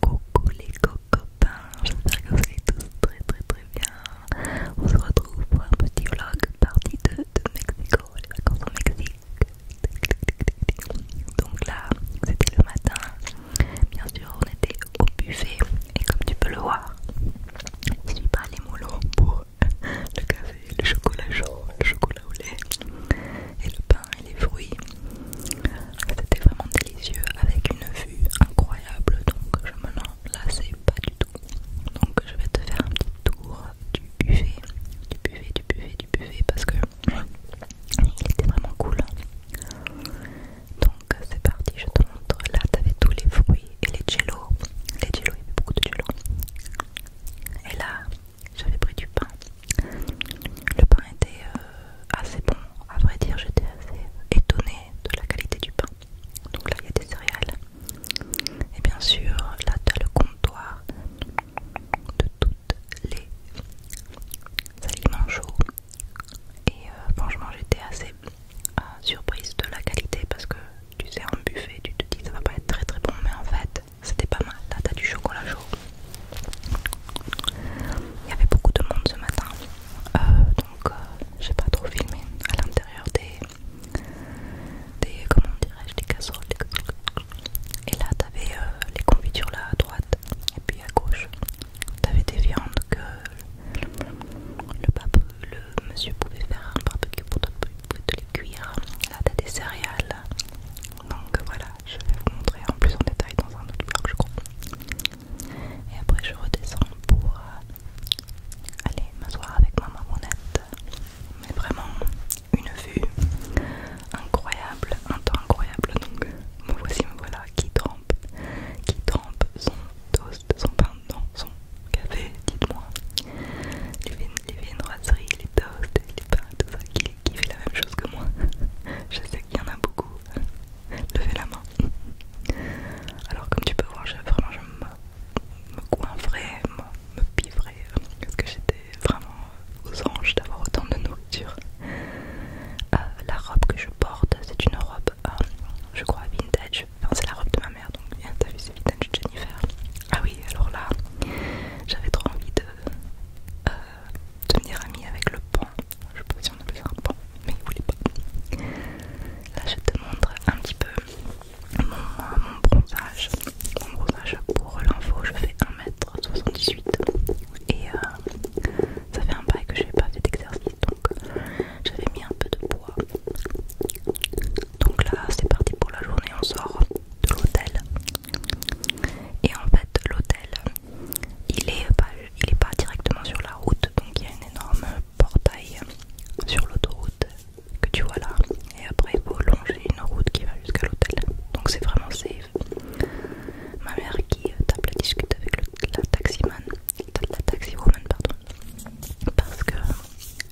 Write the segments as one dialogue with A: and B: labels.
A: Coucou les copains, j'espère que vous allez tous très très très bien. On se retrouve pour un petit vlog partie 2 de Mexico, les vacances au Mexique. Donc là, c'était le matin. Bien sûr, on était au buffet et comme tu peux le voir, je suis pas les mollo pour le café, le chocolat chaud, le chocolat au lait et le pain et les fruits. C'était vraiment délicieux avec une vue incroyable donc je me là c'est pas du tout. Donc je vais te faire un petit tour du buffet, du buffet, du buffet, du buffet parce que il était vraiment cool. Donc c'est parti, je te montre. Là t'avais tous les fruits et les jello, Les jello il y avait beaucoup de jello Et là j'avais pris du pain le pain était euh, assez bon, à vrai dire j'étais assez étonnée de la qualité du pain. Donc là il y a des céréales. Et bien sûr là tu as le comptoir de toutes les aliments chauds. Et euh, franchement j'étais assez euh, surprise de la qualité parce que tu sais en buffet tu te dis ça va pas être très très bon mais en fait c'était pas mal. Là t'as du chocolat chaud, il y avait beaucoup de monde ce matin, euh, donc euh, j'ai pas trop filmé à l'intérieur des, comment dirais-je, des casseroles. Et là, t'avais euh, les confitures là à droite, et puis à gauche, t'avais des viandes que le, pape, le monsieur pouvait faire un barbecue pour te, te les cuire. Là, t'as des céréales. Donc voilà, je vais vous montrer en plus en détail dans un autre vlog, je crois. Et après je redescends pour euh, aller m'asseoir avec ma monette. Mais vraiment une vue incroyable, un temps incroyable. Donc me voici, me voilà qui trempe, qui trempe son toast, son pain dans son café, dites-moi. Les est les toasts, les pains, tout ça, qui fait la même chose que moi. Je sais qu'il y en a beaucoup Levez la main. Alors comme tu peux voir, je, vraiment je me, coinferais, me, piverais, parce que j'étais vraiment aux anges d'avoir autant de nourriture. Euh, la robe que je porte, c'est une robe, euh, je crois, vintage. c'est la robe de ma mère, donc t'as vu, c'est vintage Jennifer. Ah oui, alors là, j'avais trop envie de tenir euh, devenir amie avec le pont je sais pas si on mais il voulait pas. Là je te montre un petit peu mon, bronzage. Mon bronzage pour l'info, je fais 1m78 et euh, ça fait un bail que je n'ai pas fait d'exercice donc j'avais mis un peu de poids. Donc là c'est parti pour la journée, on sort de l'hôtel. Et en fait l'hôtel il est pas, il pas directement sur la route, donc il y a un énorme portail sur l'autoroute que tu vois là. Et après, il faut longer une route qui va jusqu'à l'hôtel. Donc c'est vraiment safe. Ma mère qui tape la discute avec la taximan, la taxiwoman parce que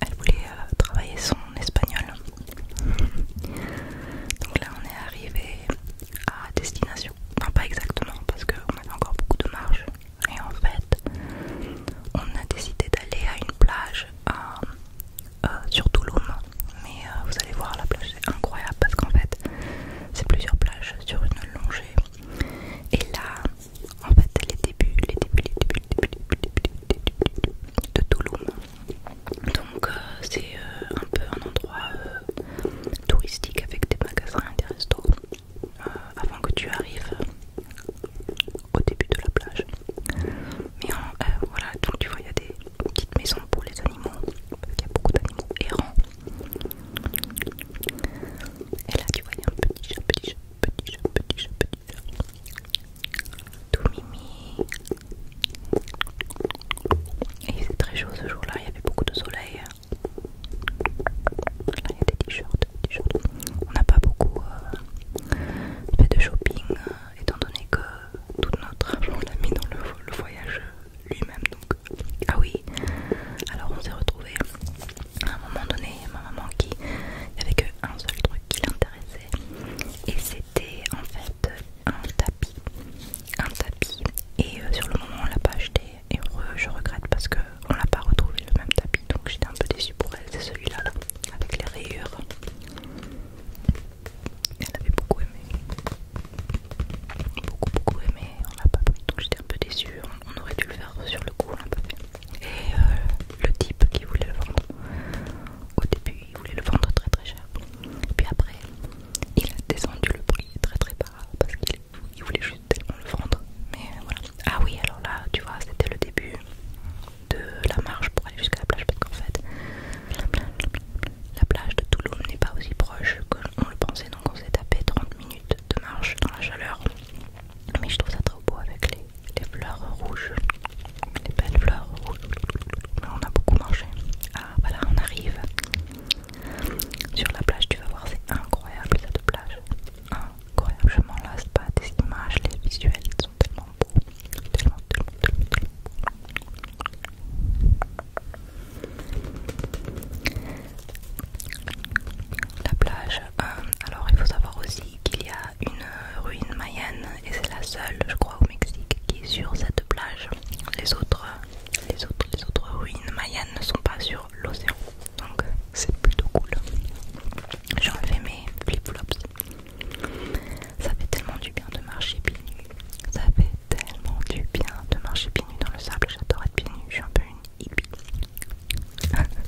A: elle voulait euh, travailler son espagnol. Donc là, on est arrivé à destination. Non pas exactement parce qu'on avait encore beaucoup de marge. Et en fait, on a décidé d'aller à une plage euh, euh, sur Touloum. Mais euh, vous allez voir, la plage c'est incroyable parce qu'en fait, c'est plusieurs plages sur une longée. Et là, en fait, les débuts, les débuts, les débuts, les débuts, les débuts, les débuts, débuts de Touloum. Donc c'est un peu un endroit touristique avec des magasins et des restos euh, avant que tu arrives euh, au début de la plage. Mais euh, voilà, donc tu vois, il y a des petites maisons pour les animaux, il y a beaucoup d'animaux errants. Et là, tu vois, il y a un petit chat, petit chat, petit chat, petit chat, petit chat. Tout mimi. Et c'est très chaud ce jour-là, il y avait beaucoup de soleil. Là, il y a des t-shirts. On n'a pas beaucoup euh, fait de shopping, euh, étant donné que tout notre argent on l'a mis dans le, voyage lui-même. Donc, euh, ah oui, alors on s'est retrouvé à un moment donné, ma maman qui avait qu'un seul truc qui l'intéressait, et c'était en fait un tapis. Un tapis, et sur le moment on l'a pas acheté, et je regrette parce que on l'a pas retrouvé le même tapis donc j'étais un peu déçue pour elle c'est celui-là là, avec les rayures elle avait beaucoup aimé beaucoup beaucoup aimé on l'a pas pris donc j'étais un peu déçue on, aurait dû le faire sur le coup on l'a pas fait et euh, le type qui voulait le vendre au début il voulait le vendre très très cher puis après il a descendu le prix très très bas parce qu'il il voulait juste le vendre, mais voilà. Ah oui, alors là, tu vois, c'était le début de la marche pour aller jusqu'à la plage, parce qu'en fait, la plage, de Toulouse n'est pas aussi proche qu'on le pensait, donc on s'est tapé 30 minutes de marche dans la chaleur. Mais je trouve ça trop beau avec les, les fleurs rouges, les belles fleurs rouges. Mais on a beaucoup marché. Ah voilà, on arrive sur la plage, tu vas voir, c'est incroyable cette plage. Incroyable, je m'en lasse pas des images, les visuels sont tellement beaux. La plage, euh, alors il faut savoir aussi qu'il y a une ruine mayenne et c'est la seule, je crois, au Mexique qui est sur cette plage. Les autres, les autres, les autres ruines mayennes ne sont pas sur l'océan. Donc c'est plutôt cool. J'ai enlevé mes flip-flops. Ça fait tellement du bien de marcher pied Ça fait tellement du bien de marcher pieds dans le sable. J'adore être pied Je suis un peu une hippie.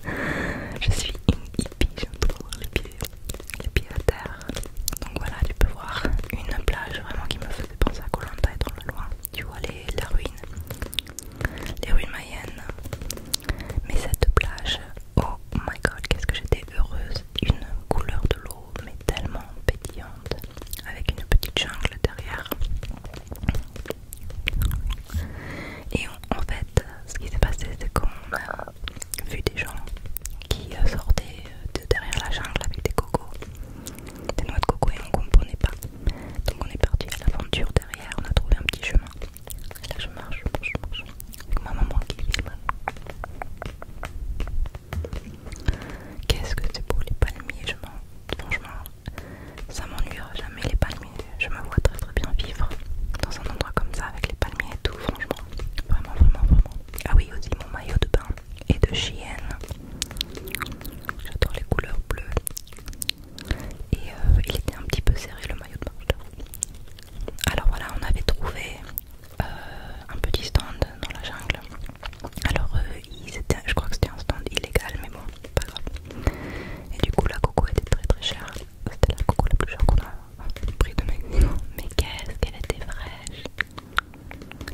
A: je suis une hippie. J'aime trop les pieds, à terre. Donc voilà, tu peux voir une plage vraiment qui me faisait penser à Colanta et dans le loin. Tu vois les, la ruine les rues Mayennes, Mais cette plage, oh my god, qu'est-ce que j'étais heureuse! Une couleur de l'eau, mais tellement pétillante, avec une petite jungle derrière. Et en fait, ce qui s'est passé, c'est qu'on a vu des gens qui sortaient de derrière la jungle avec des cocos des noix de coco et on comprenait pas. Donc on est parti à l'aventure derrière, on a trouvé un petit chemin. Là je marche, Avec ma maman qui filme. Qu'est-ce que c'est beau les palmiers, je franchement ça m'ennuiera jamais les palmiers. Je me vois très très bien vivre dans un endroit comme ça avec les palmiers et tout, franchement. Vraiment, vraiment, vraiment. Ah oui aussi mon maillot de bain et de chienne. J'adore les couleurs bleues et euh, il était un petit peu serré le maillot de marche Alors voilà, on avait trouvé euh, un petit stand dans la jungle. Alors euh, je crois que c'était un stand illégal, mais bon, pas grave. Et du coup, la coco était très très chère. C'était la coco la plus chère qu'on a pris de Mexico. Mais qu'est-ce qu'elle était fraîche!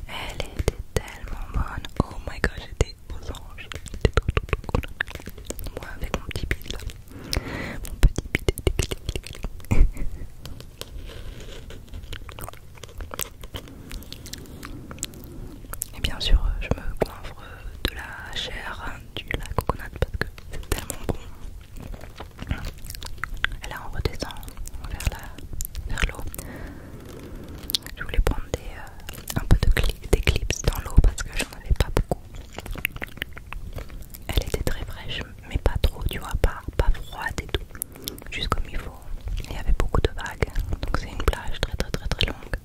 A: Elle était tellement bonne! Oh my god, moi avec mon petit bide là. Mon petit bide. Et bien sûr, je me coiffre de la chair du la coconut parce que c'est tellement bon. Et là, on redescend vers l'eau. Vers je voulais prendre des, euh, un peu d'éclipse dans l'eau parce que j'en avais pas beaucoup. Elle était très fraîche, mais pas trop, tu vois, pas, pas froide et tout, juste comme il faut. Il y avait beaucoup de vagues, donc c'est une plage très très très très longue,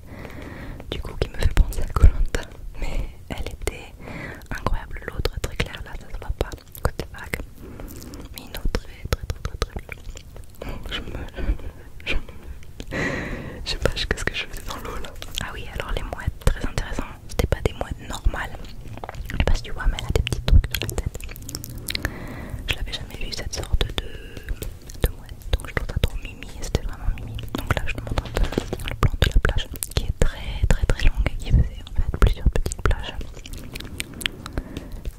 A: du coup qui me fait penser à Colanta. Mais elle était incroyable, l'autre très claire là, ça se voit pas, côté vague, mais une autre très très très très très je me... Je sais pas ce que je faisais dans l'eau là. Ah oui, alors les mouettes, très intéressant. C'était pas des mouettes normales. Je sais pas si tu vois, mais elle a des petits trucs sur la tête. Je l'avais jamais vu cette sorte de, mouette. Donc je trouve ça trop mimi. C'était vraiment mimi. Donc là, je te montre un peu le plan de la plage qui est très très très longue et qui faisait en fait plusieurs petites plages.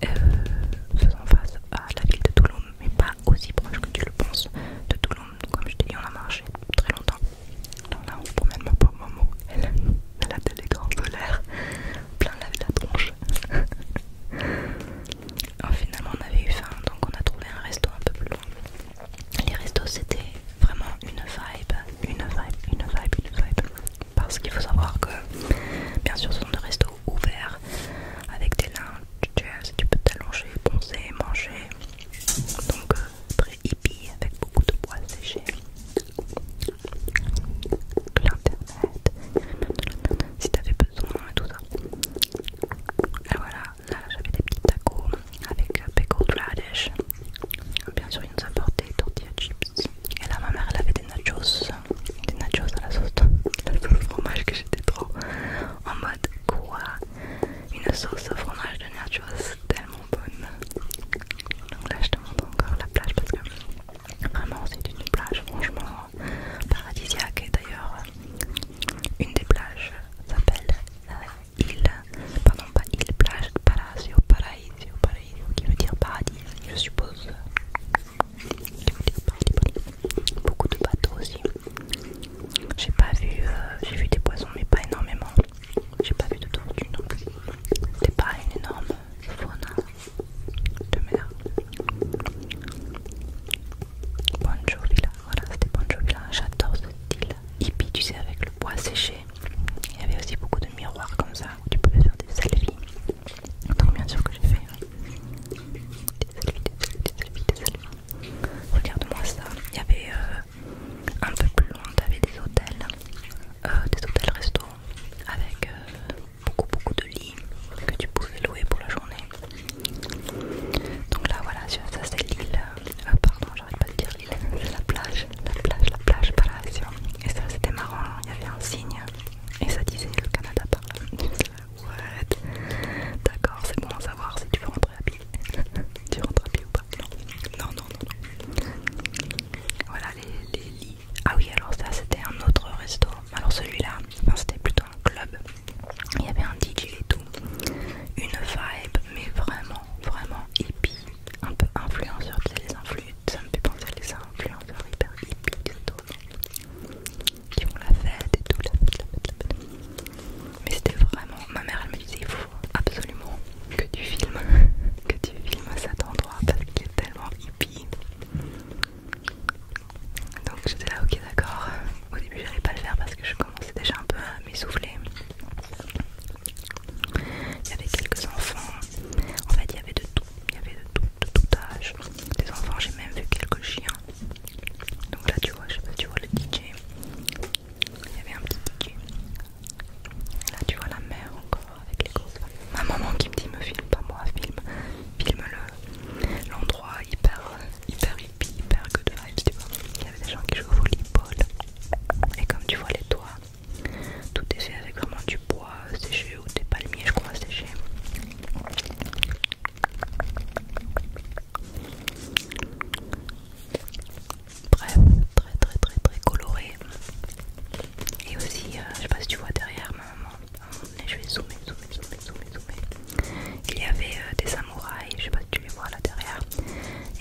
A: Euh, faisant face à la ville de Toulon, mais pas aussi proche que tu le penses de tout le monde Comme je t'ai dit, on a marché très longtemps. dans là, on promène ma maman. Elle a, elle a des grands l'air plein la, la tronche. finalement, on avait eu faim, donc on a trouvé un resto un peu plus loin. Les restos, c'était vraiment une vibe, une vibe, une vibe, une vibe. Parce qu'il faut savoir que, bien sûr, ce sont des restos ouverts avec des, tu, peux t'allonger, poncer, manger. Donc euh, très hippie avec beaucoup de bois séché. l'internet. Si t'avais besoin et tout ça. Et voilà, là j'avais des petits tacos avec euh, pickled radish. Bien sûr, ils nous apportaient tortilla chips. Et là, ma mère, elle avait des nachos, des nachos à la sauce, le fromage que j'étais trop en mode quoi Une sauce au fromage de Nature tellement bonne. Donc là je te montre encore la plage parce que vraiment c'est une plage franchement paradisiaque et d'ailleurs une des plages s'appelle la île, pardon pas île, plage, palacio, paraíso, paraíso qui veut dire paradis je suppose. Qui veut dire paradis beaucoup de bateaux aussi. J'ai pas vu, euh, j'ai vu des poissons mais pas énormément. J'ai pas vu de tortues non plus. C'était pas une énorme faune hein, de mer. bonjour Villa, voilà c'était bonjour Villa. J'adore ce style hippie, tu sais, avec le bois séché. Il y avait aussi beaucoup de miroirs comme ça où tu pouvais faire des selfies. Donc bien sûr que j'ai fait hein. des selfies, des selfies, des selfies. Regarde-moi ça. Il y avait euh, un peu plus loin, avait des hôtels, euh, des hôtels restaurants avec euh, beaucoup beaucoup de lits que tu pouvais louer pour la journée. Donc là voilà, ça c'est l'île. pardon, j'arrête pas de dire l'île. C'est la plage, la plage, la plage par là, Et ça c'était marrant. Hein, il y avait un signe et ça disait le Canada par là. What D'accord, c'est bon à savoir si tu veux rentrer à pied. tu rentres à pied ou pas Non, non, non, non. Voilà les, les lits. Ah oui, alors ça c'était un autre resto. Alors celui-là, c'était plutôt un club. Il y avait un DJ et tout. Une vibe, mais vraiment, vraiment hippie. Un peu influenceur, tu sais, les influenceurs. Ça me fait penser à les influenceurs hyper hippies qui ont la fête et tout, la fête, Mais c'était vraiment, ma mère elle me disait il faut absolument que tu filmes, que tu filmes cet endroit parce qu'il est tellement hippie. Donc j'étais là, ok d'accord. Au début j'allais pas le faire parce que je commençais déjà un peu à m'essouffler. Il y avait quelques enfants, en fait il y avait de tout, il y avait de tout, de tout âge. Des enfants, j'ai même vu quelques chiens, donc là tu vois, je sais tu vois le DJ. Il y avait un petit DJ. Là tu vois la mer encore avec les grosses Ma maman qui me dit me filme pas moi, filme, l'endroit hyper hyper hippie, hyper good vibes, tu vois. Il y avait des gens qui jouaient au volleyball. Et comme tu vois les toits, tout est fait avec vraiment du bois séché ou des palmiers je crois séchés. Bref, très très très très coloré. Et aussi, euh, je sais pas si tu vois derrière ma maman, je vais zoomer, zoomer, zoomer, zoomer, Il y avait euh, des samouraïs, je sais pas si tu les vois là derrière.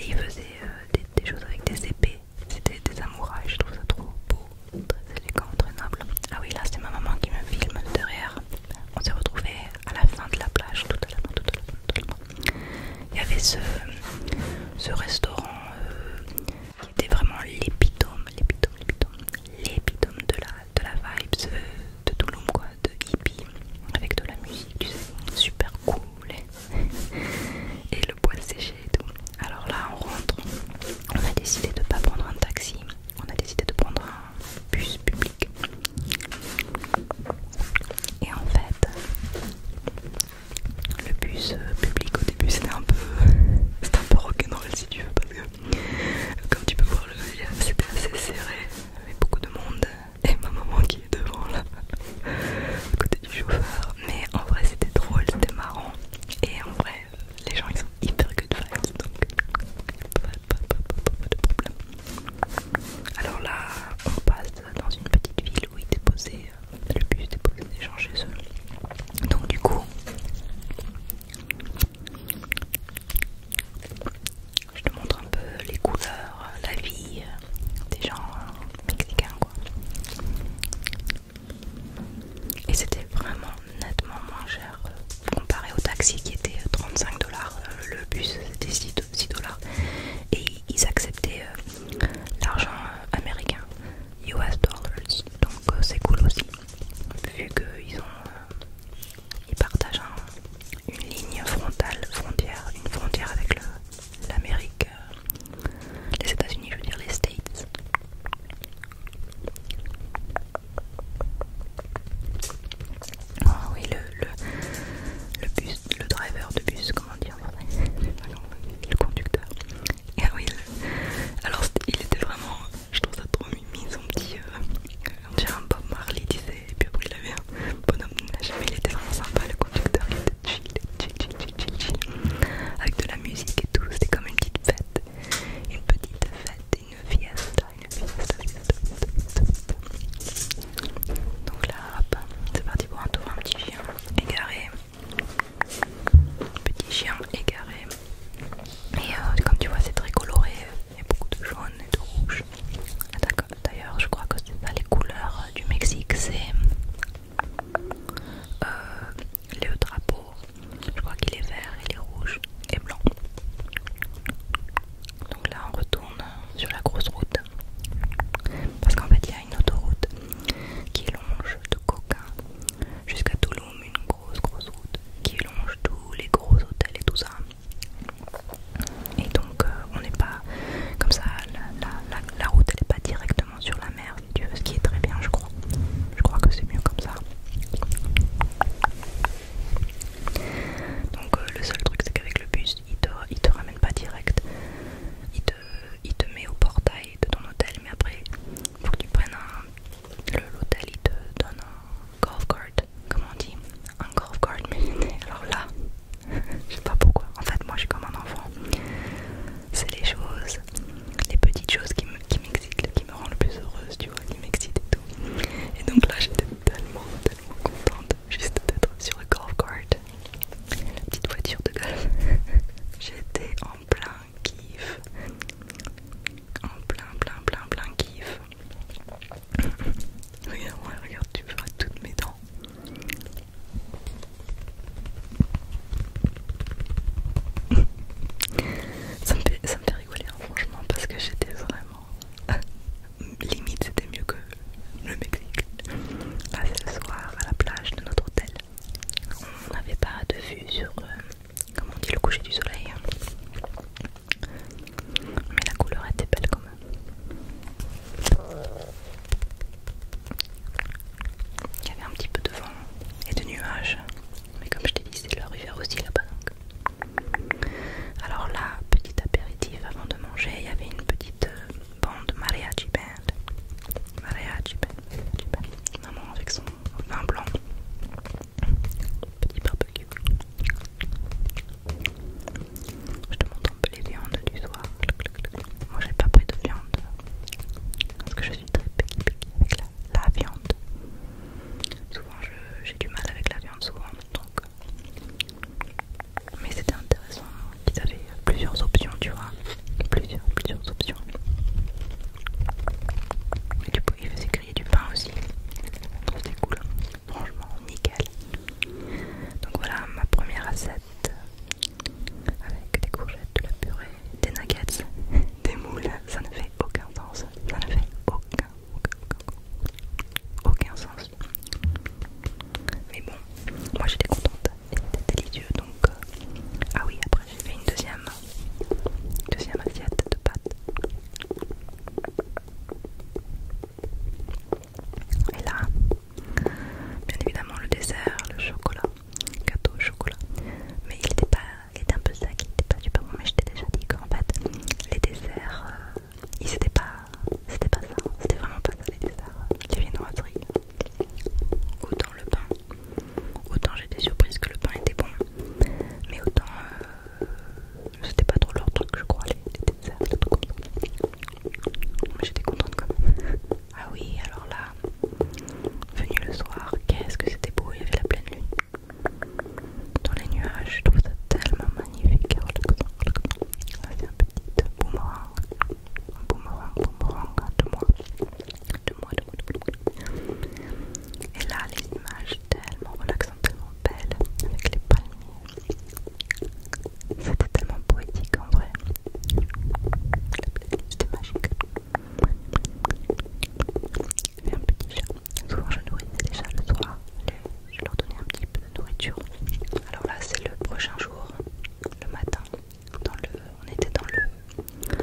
A: Et ils faisaient euh, des, des choses avec des épées. C'était des samouraïs, je trouve ça trop beau, très élégant, très noble. Ah oui, là c'est ma maman qui me filme derrière on s'est retrouvé à la fin de la plage, tout à l'heure, Il y avait ce, restaurant euh, qui était vraiment l'épitome, de la, de vibe euh, de, Tulum, de hippie, avec de la musique, super cool et le bois séché et tout. Alors là, on rentre, on a décidé de ne pas prendre un taxi, on a décidé de prendre un bus public. Et en fait, le bus euh, public au début c'était un peu, c'était un peu rock'n'roll si tu veux parce que comme tu peux voir le c'était assez serré, avec beaucoup de monde et ma maman qui est devant là, à côté du chauffeur. Mais en vrai c'était drôle, c'était marrant et en vrai les gens ils sont hyper good vibes donc pas de problème. Alors là, on passe dans une petite ville où il était posé, euh, le bus, déposait des gens chez eux. Donc du coup, je te montre un peu les couleurs, la vie des gens hein, mexicains quoi. Et c'était vraiment nettement moins cher comparé au taxi qui était 35 euh, dollars, euh, le bus c'était 6 dollars et ils acceptaient euh, l'argent américain, US dollars, donc c'est cool aussi vu qu'ils ont ils partagent une ligne frontale, frontière, une frontière avec l'Amérique, les États-Unis, je veux dire les States. Ah oui, le, le, bus, le driver de bus, comment dire Le conducteur. Ah oui, alors il était vraiment, je trouve ça trop mimi, son petit, euh, on dirait un Bob Marley disait, et puis après il avait un bonhomme jamais il était vraiment sympa, le conducteur, il était chill, chill, chill, chill, avec de la musique et tout, c'était comme une petite fête, une petite fête une fiesta, une fiesta, Donc là, hop, c'est parti pour un un petit chien égaré. Petit chien égaré. Et euh, comme tu vois, c'est très coloré. Il y a beaucoup de jaune et de rouge. Ah, D'ailleurs, je crois que c'est les couleurs euh, du Mexique. C'est euh, le drapeau. Je crois qu'il est vert, il est rouge et blanc. Donc là on retourne sur la grosse route parce qu'en fait il y a une autoroute qui longe de Coca jusqu'à Toulouse une grosse grosse route qui longe tous les gros hôtels et tout ça. Et donc euh, on n'est pas comme ça, la, route elle n'est pas directement sur la mer, du ce qui est très bien je crois. Je crois que c'est mieux comme ça. Donc euh, le seul truc c'est qu'avec le bus, il te, il ramène pas direct. Il te, il met au portail de ton hôtel, mais après, faut que tu prennes un... L'hôtel, il te donne un golf cart, comment on dit Un golf cart, mais alors là, je sais pas pourquoi. En fait, moi je suis comme un enfant. C'est les choses, les petites choses qui m'excitent, qui me rendent le plus heureuse, tu vois, qui m'excitent et tout. Et donc là, j'étais tellement suis contente juste d'être sur le golf cart, la petite voiture de golf. J'étais en plein kiff, en plein, plein, plein, plein kiff. Regarde, ouais, regarde, tu vois toutes mes dents. Ça me, fait, ça me rigoler hein, franchement parce que j'étais vraiment limite c'était mieux que le Mexique là c'est le soir à la plage de notre hôtel on n'avait pas de vue sur euh, comment le coucher du soleil hein. mais la couleur était belle quand même il y avait un petit peu de vent et de nuages mais comme je t'ai dit c'est la rivière aussi là-bas donc alors là, petit apéritif avant de manger, il y avait une petite euh, bande Maria band. Maria band. Maman avec son vin blanc. Petit barbecue. Je te montre un peu les viandes du soir. Moi j'ai pas pris de viande. Parce que je suis très picky avec la, viande. Souvent j'ai du mal avec la viande souvent mais c'était intéressant qu'ils avaient plusieurs options, tu vois, plusieurs, plusieurs options. Et du coup, ils faisaient griller du pain aussi, c'était cool, franchement, nickel. Donc voilà ma première recette euh, avec des courgettes, de la purée, des nuggets, des moules, ça ne fait aucun sens, ça ne fait aucun aucun sens. Mais bon, moi j'étais contente, c'était délicieux donc. Euh, ah oui, après j'ai fait une deuxième, deuxième assiette de pâtes. Et là, bien évidemment, le dessert, le chocolat, gâteau au chocolat. Mais il était, pas, il était un peu sec, il était pas du bon. Mais j'étais déjà dit qu'en fait, les desserts euh, il c'était pas c'était pas ça, c'était vraiment pas ça les desserts viennoiseries autant le pain autant j'étais surprise que le pain était bon mais autant euh, c'était pas trop leur truc je crois les, les desserts mais j'étais contente quand même ah oui alors là venu le soir qu'est-ce que c'était beau il y avait la pleine lune dans les nuages je trouve ça tellement magnifique un petit boomerang. Un boomerang, boomerang hein, deux moi. deux mois, deux mois, deux mois. Et là, les images tellement relaxantes, tellement belles, avec les palmiers. C'était tellement poétique en vrai. C'était magique. J'avais un petit chat. Souvent je nourris les chats le soir. Je leur donnais un petit peu nourriture. Alors là, c'est le prochain jour, le matin. Dans le, on était dans le,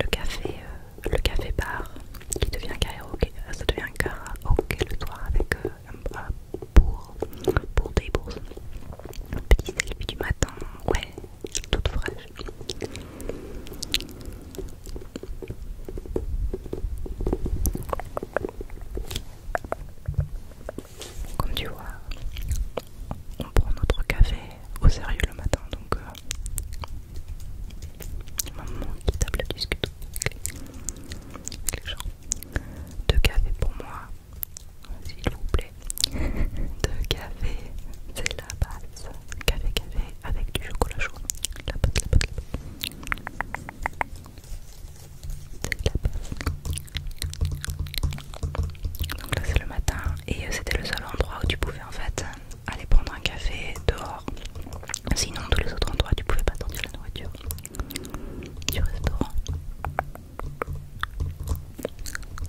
A: le café, euh, le café bar qui devient Karaoke euh, Ça devient le soir avec euh, un pour, pour des bourses. Petit du matin, ouais, toute fraîche. Comme tu vois, on prend notre café au sérieux le matin, donc un euh, maman qui tape la avec les gens. Deux cafés pour moi, s'il vous plaît. Deux cafés, c'est la base. Café, café avec du chocolat chaud. La pote la la donc là c'est le matin et euh, c'était le seul endroit où tu pouvais en fait aller prendre un café dehors. Sinon tous les autres endroits tu pouvais pas sortir la nourriture du restaurant.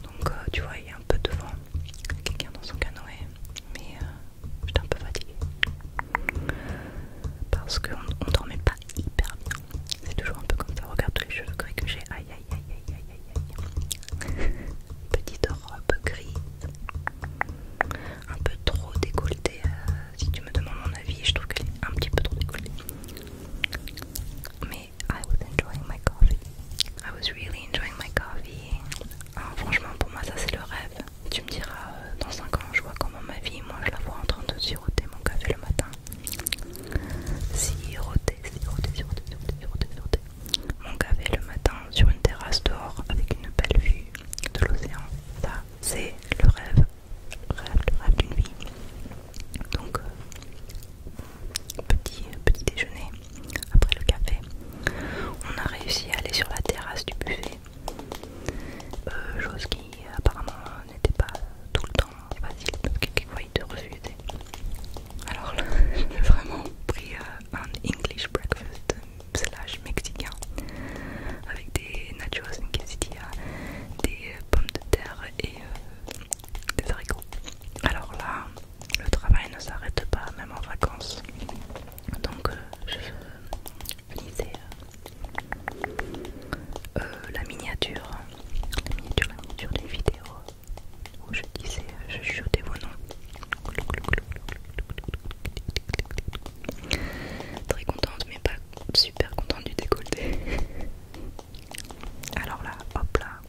A: Donc euh, tu vois il y a un peu de vent, quelqu'un dans son canoë, mais euh, j'étais un peu fatiguée parce qu'on dormait pas hyper bien. C'est toujours un peu comme ça. Regarde tous les cheveux gris que j'ai. Aïe aïe aïe aïe aïe aïe aïe. Petite robe grise. Un peu trop décolletée. Euh, si tu me demandes mon avis, je trouve qu'elle est un petit peu trop décolletée. Mais I was enjoying my coffee. I was really enjoying my coffee. Ah, franchement, pour moi, ça c'est le rêve. Tu me diras euh, dans 5 ans, je vois ma vie, moi je la vois en train de siroter mon café le matin. Siroter, siroter, siroter, siroter, siroter, Mon café le matin sur une terrasse dehors avec une belle vue de l'océan. Ça, c'est le rêve, rêve, le rêve d'une vie. Donc, euh, petit, petit déjeuner après le café. On a réussi à aller sur la terrasse du buffet. Euh, chose qui apparemment n'était pas tout le temps facile, donc quelquefois il te refusait. Alors là, j'ai vraiment pris euh, un English breakfast slash mexicain avec des nachos en quesadilla, des euh, pommes de terre et euh, des haricots. Alors là, le travail ne s'arrête pas, même en vacances. Donc je je finissais euh, la miniature, la miniature, la miniature des vidéos où je disais, euh, je chutais vos noms. Très contente, mais pas super contente du décolleté. Alors là, hop là.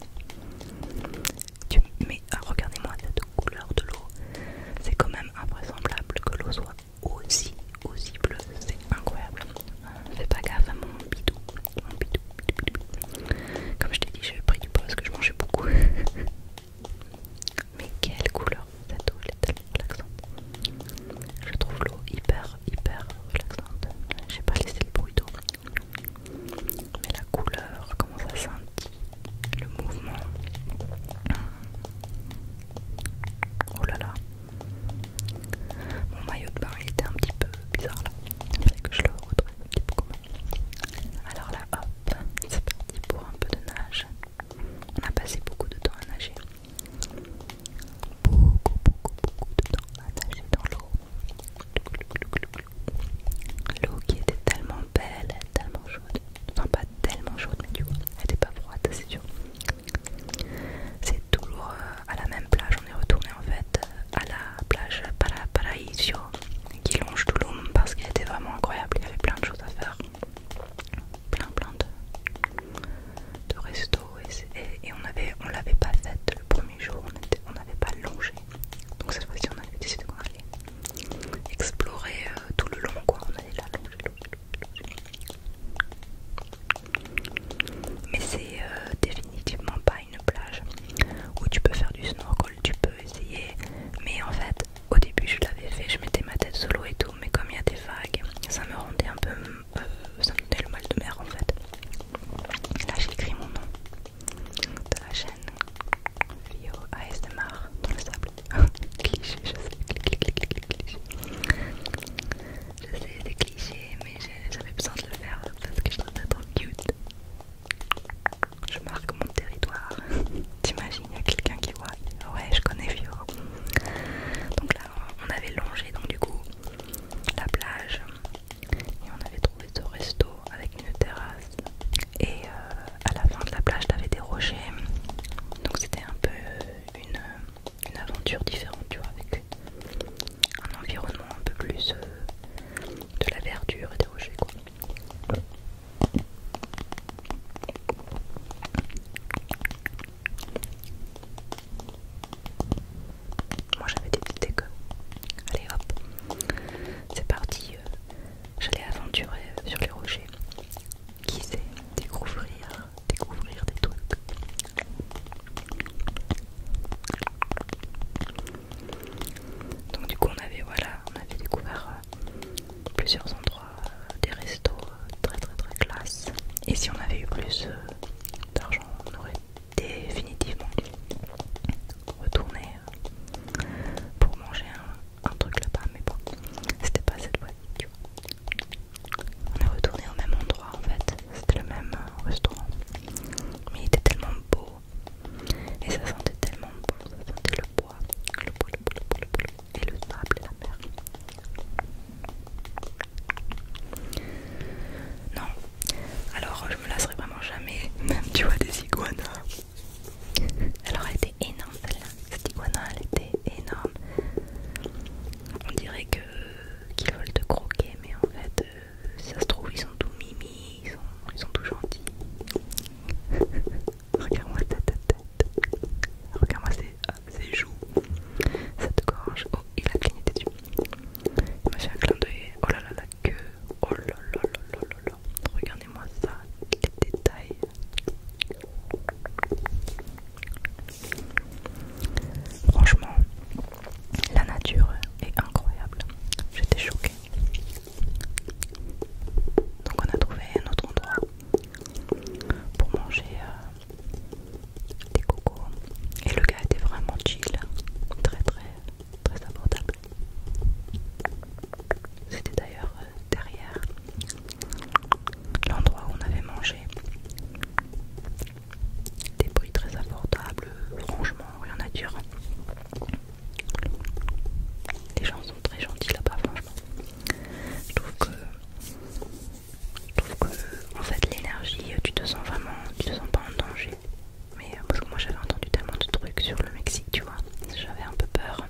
A: Mais ah, regardez-moi la couleur de l'eau. C'est quand même invraisemblable que l'eau soit aussi, aussi bleu, c'est incroyable. Fais pas gaffe à mon bidou, mon bidou, Comme je t'ai dit, j'ai pris du pas parce que je mangeais beaucoup. Mais quelle couleur cette eau, elle est tellement relaxante. Je trouve l'eau hyper, hyper relaxante. J'ai pas laissé le bruit d'eau. Mais la couleur, comment ça sentit le mouvement. Oh là là, mon maillot de bain était un petit peu bizarre là. Il fallait que je le retrouve un petit peu Alors là, hop, c'est parti pour un peu de nage. On a passé beaucoup de temps à nager. Beaucoup, beaucoup, beaucoup de temps à nager dans l'eau. L'eau qui était tellement belle, tellement chaude. Enfin, pas tellement chaude, mais du coup, elle était pas froide, c'est sûr. C'est toujours euh, à la même plage, on est retourné en fait euh, à la plage para qui longe l'homme parce qu'il était vraiment incroyable, il y avait plein de choses à faire, plein plein de, resto restos et, on l'avait on l'avait pas faite le premier jour, on n'avait pas longé, donc cette fois-ci on avait décidé qu'on allait explorer euh, tout le long quoi, on allait là, longer, mais c'est euh, définitivement pas une plage où tu peux faire du snorkel, tu peux essayer. Mais en fait, au début, je l'avais fait, je mettais ma tête sous l'eau et tout. Mais comme il y a des vagues, ça me rendait un peu. Euh, ça me donnait le mal de mer en fait. Là, j'écris mon nom de la chaîne Vio ASMR dans le sable. cliché, je sais, cliché. Je sais, c'est cliché, mais j'avais besoin de le faire parce que je trouve ça trop cute. Je marque mon territoire. T'imagines, il y a quelqu'un qui voit. Ouais, je connais Fior. Donc là, on avait longé, donc du coup, la plage. Et on avait trouvé ce resto avec une terrasse. Et euh, à la fin de la plage, avait des rochers. Donc c'était un peu euh, une euh, une aventure différente, tu vois, avec un environnement un peu plus euh, de la verdure et des rochers, quoi. Moi j'avais des petites Allez hop, c'est parti. Euh. J'allais aventurer euh, sur les rochers. Qui sait découvrir découvrir des trucs. Donc du coup on avait voilà, on avait découvert euh, plusieurs endroits, euh, des restos euh, très très très classe. Et si on avait eu plus d'argent, on aurait définitivement retourné pour manger un, truc là-bas, mais bon, c'était pas cette fois on est retourné au même endroit en fait, c'était le même euh, restaurant. Mais il était tellement beau et ça sentait tellement bon, ça sentait le bois, le bois, le bois, et le sable et la mer. Non, alors je me lasserai vraiment jamais, tu vois des iguanas. Alors elle était énorme celle-là, cette iguana elle était énorme. On dirait que qu'ils veulent te croquer, mais en fait, euh, ça se trouve, ils sont tout mimi, ils sont, ils tout gentils. Regarde-moi ta tête, regarde-moi ah, ces joues, cette gorge. Oh, il a cligné des yeux. Il m'a fait un clin d'œil. Oh là là, la queue. Oh là là là là là là. Regardez-moi ça, les détails. Franchement, la nature est incroyable. J'étais choquée. Donc on a trouvé un autre endroit pour manger euh, des cocos. Et le gars était vraiment chill, très très très abordable. C'était d'ailleurs euh, derrière l'endroit où on avait mangé des prix très abordables, franchement, rien à dire. Les gens sont très gentils là-bas, franchement. Je trouve que, en fait, l'énergie, tu te sens vraiment, tu te sens pas en danger. Mais euh, moi, j'avais entendu tellement de trucs sur le Mexique, tu vois, j'avais un peu peur.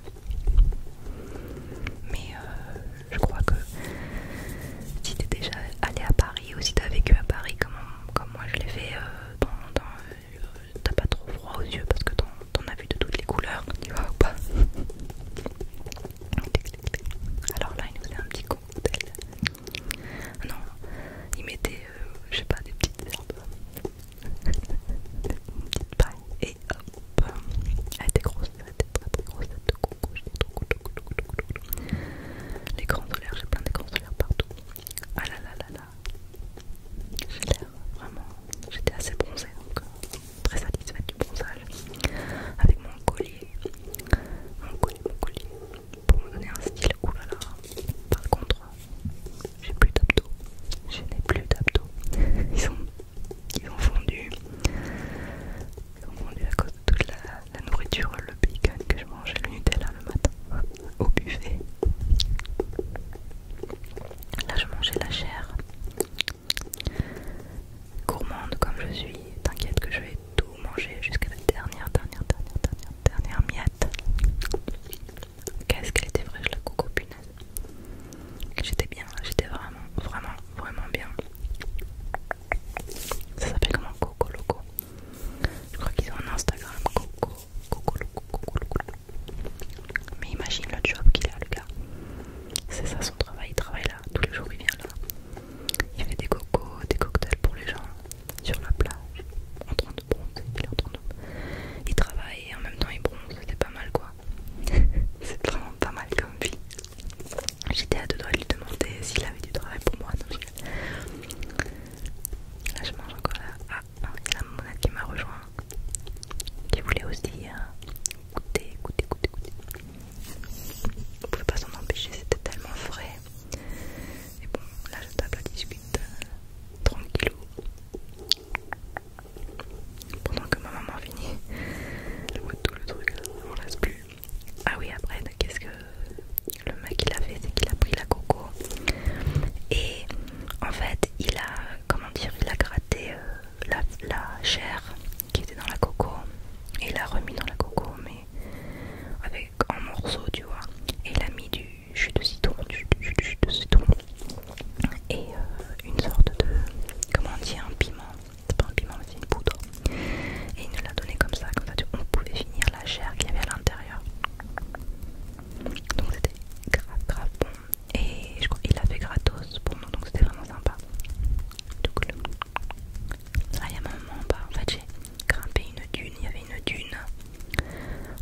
A: Mais euh, je crois que si t'es déjà allé à Paris et aussi t'as vécu à Paris comme, moi je l'ai fait, euh, euh, t'as pas trop froid aux yeux parce que t'en as vu de toutes les couleurs, tu vois ou pas Alors là, il nous faisait un petit cocktail. Ah non, il mettait, euh, je sais pas, des petites herbes, et hop, elle était grosse, elle était très très grosse, de coco, trop contente. Les grands solaires, j'ai plein de grands solaires partout. Ah là là là là. J'ai l'air vraiment. J'étais assez bronzée donc euh, très satisfaite du bronzage. Avec mon collier. Mon collier, mon collier. Pour me donner un style. Oulala. Oh là là. Par contre, j'ai plus d'abdos. Je n'ai plus d'abdos. Ils ont fondu monde à cause de toute la, nourriture, le bacon que je mangeais, le Nutella le matin, au buffet. Là, je mangeais la chair. Gourmande comme je suis, t'inquiète que je vais tout manger jusqu'à la dernière, dernière, dernière, dernière, dernière miette. Qu'est-ce qu'elle était fraîche la coco punaise. J'étais bien, j'étais vraiment, vraiment, vraiment bien. Ça s'appelle comment Coco Loco je crois qu'ils ont un Instagram. coco coco coco coco. Mais imagine le job qu'il a, le gars. C'est ça son travail. Il travaille là. Tous les jours, il vient là. Il fait des cocos, des cocktails pour les gens sur la plage. En train de bronzer. Il Il travaille et en même temps il bronze. C'est pas mal quoi. C'est vraiment pas mal comme vie. J'étais à deux doigts de lui demander s'il avait du travail pour moi. Là, je mange encore là. Ah, il ah, y monade qui m'a rejoint. Qui voulait aussi euh, goûter, goûter, goûter, goûter. On pouvait pas s'en empêcher, c'était tellement frais. Et bon, là, je tape la discute 30 euh, tranquillou. Pendant que ma maman finit, le tout le truc, on ne laisse plus. Ah oui, après, qu'est-ce que le mec il a fait C'est qu'il a pris la coco et en fait, il a, comment dire, il a gratté euh, la, chair qui était dans la coco et il l'a remis dans la coco, mais avec en morceaux, tu vois. Et il a mis du jus de citron, du de, citron et euh, une sorte de, comment dire, un piment. C'est pas un piment, mais c'est une poudre. Et il nous l'a donné comme ça, comme ça on pouvait finir la chair qu'il y avait à l'intérieur. Donc c'était grave grave bon. Et je crois qu'il l'a fait gratos pour nous, donc c'était vraiment sympa. Tout cool. Là il y a un moment en bas, en fait j'ai grimpé une dune, il y avait une dune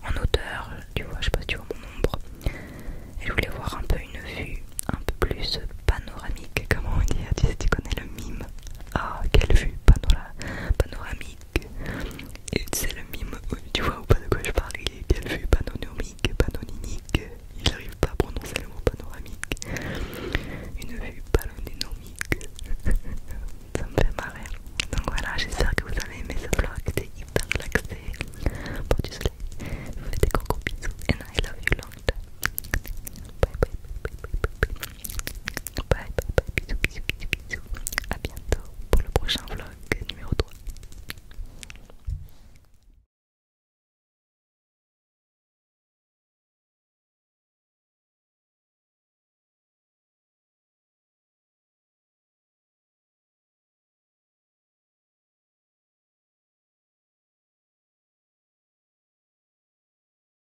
A: en hauteur, tu vois, je sais pas si tu vois mon ombre. Et je voulais voir un peu une vue un peu plus panoramique, comment on dit, tu sais, tu connais le mime. Ah, quelle vue panoramique c'est le mime, tu vois ou pas de quoi je parle Il est quelle vue panoramique Panoramique Il n'arrive pas à prononcer le mot panoramique Une vue panoramique Ça me fait marrer Donc voilà, j'espère que vous avez aimé ce vlog C'était hyper relaxé Bon, du soleil vous fais des gros gros bisous And I love you long time bye bye bye bye bye, bye. Bye A bientôt pour le prochain vlog numéro 3.